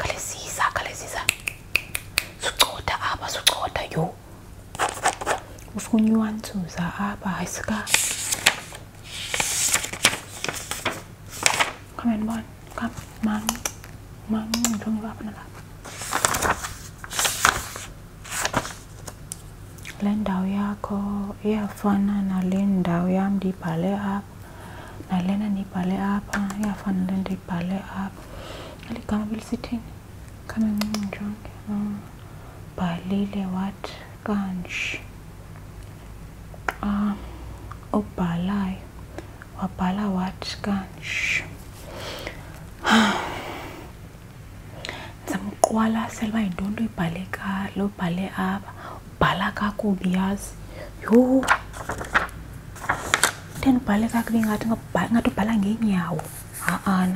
khalesisa khalesisa sucotha apha sucotha yho ufuna uyiwantsuza apha hayi sika le ndawo yakho iyafana nale ndawo yam ndiyibhale up nailena nibhale apha iyafanele ndiyibhale apha eli gama belisithini kamencinci ndijonge ubhalile oh, wathi kanje xa ubhalayo wabhala wathi kanje ndizamqwalasela uba yintoni nto ibhale lobhale apha pala kaku bias yo ten pala kaku ngat ngatu pala nge nyaw aan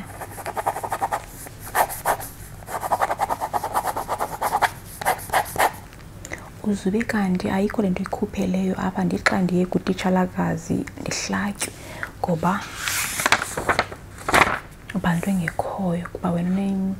uzube kanti ayikho le nto ikhupheleyo apha ndithi xa ndiye kutitshalakazi ndihlatywe ngoba ubantu engekhoyo kuba wena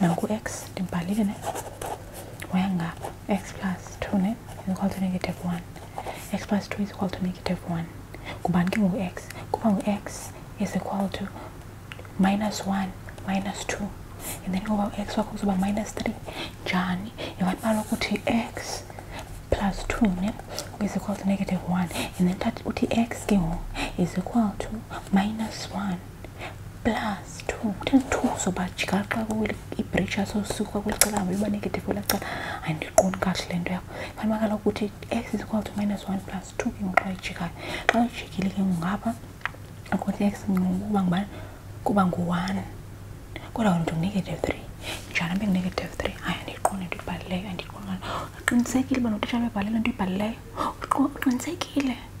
nangu x ndibhalile ne wayangapha x plus two ne is equal to negative one x plus two is equal to negative one ngubani ke ngoku x kuba ngu-x is equal to minus one minus two and then ngoba u-x wakho kuzoba minus three njani yabantu balokuthi x plus two ne is equal to negative one and then uthi x ke ngoku is equal to minus one plus two ten two sobajika xa i-pressure sosuka kweli cala hambe iba negative kwela cala andiqondi kakuhle le nto yakho fanele uba kaloku kuthi x is equal to minus one plus two ke ngoku xa ijikayo xa ijikile ke ngungapha ukuthi x kuba ngubani kuba ngu-one kodwa wena ndinegative three njani abe ngunegative three hayi andiyiqondi into ibhalileyo andiyiqondi qinisekile uba notitshala bebhalela into ibhalileyo uqinisekile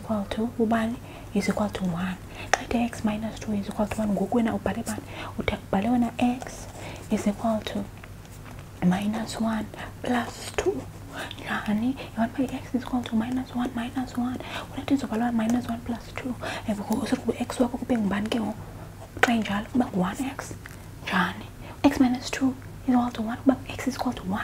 is equal to ubali is equal to 1 xa ithe x minus 2 is equal to 1 ngoku wena ubhale bani uthe ubhale wena x is equal to minus 1 plus 2 njani yona by x is equal to minus 1 minus 1 unathi izobhalwa minus 1 plus 2 and ngoku x wakho kube ngubani ke ngoku xa injalo kuba ngu-1x njani x minus 2 is equal to 1 kuba x is equal to 1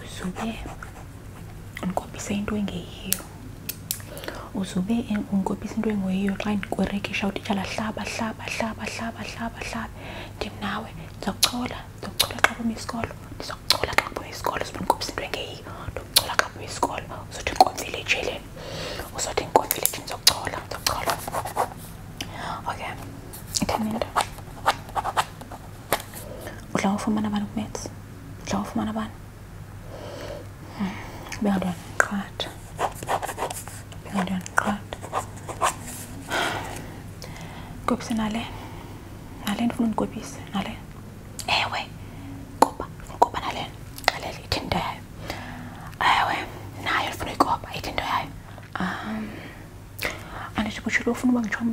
uzube unkophisa into engeyiyo uzube unkophisa into engeyiyo xa ndikwerekisha utitshala hlaba hlaba hlaba hlaba hlaba hlaba ndinawe ndizakuchola ndizakuchola xa bumi isikolo ndizakuchola xa bumi isikolo uzube ndikhophisa into engeyiyo ndizakuchola xa bumi isikolo uzothi ndikomfile ejileni uzothi ndikomfile ejini ndizakuchola ndizakuchola okay itheni ulava ufumana abantu kumetse ulava ufumana abantu hmm, bengadoa ndiqhatha bengadoa ndiqhatha gobise nale nale ndifuna undigobise nale ewe koba kupa nalena xelele ithi into yayo ewe nayo ndifuna uyikoba ithi into yayo um anditsho kutshilo ufuna uba ngitshomi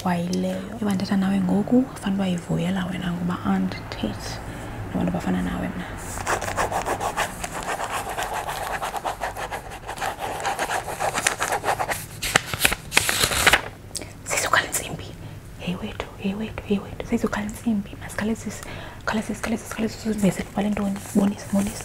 kwayileyo ebandithetha nawe ngoku fanuba yivuyela wena ngoba andithethi nabantu bafana nawe mna sizokhala intsimbi hey wethu hey wethu hey wethu sizokhala intsimbi masikhalezise khalezise khalezise khalezise uveze kubale ntoni bonise bonise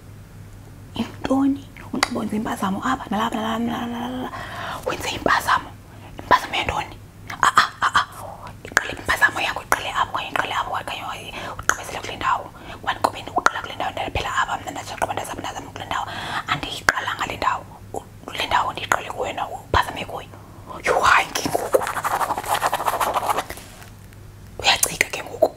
emntoni unxiba wenze impazamo apha nalapha nalapha wenze impazamo impazamo yentoni aa ah, aa ah, ah, iqele impazamo yakho iqele apho okanye iqele apho okanye ugqibezele kule ndawo kubani kube uqala kule ndawo ndaphela apha mna ndasaqhuba ndazama ndazama kule ndawo andiyiqalanga le ndawo le ndawo ndiyiqele kuwena uphazame kuyo yuhanki ngoku uyacika ke ngoku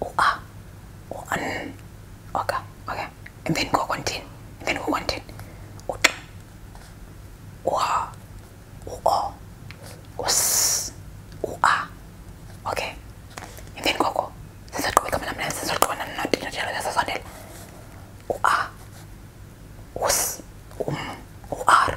or or an. Okay, okay. And then go continue. And then go continue. Or or or us or Okay. And then go go. Sasa tuweka mna mna sasa tuweka mna mna tena tena sasa ndele. Or us um or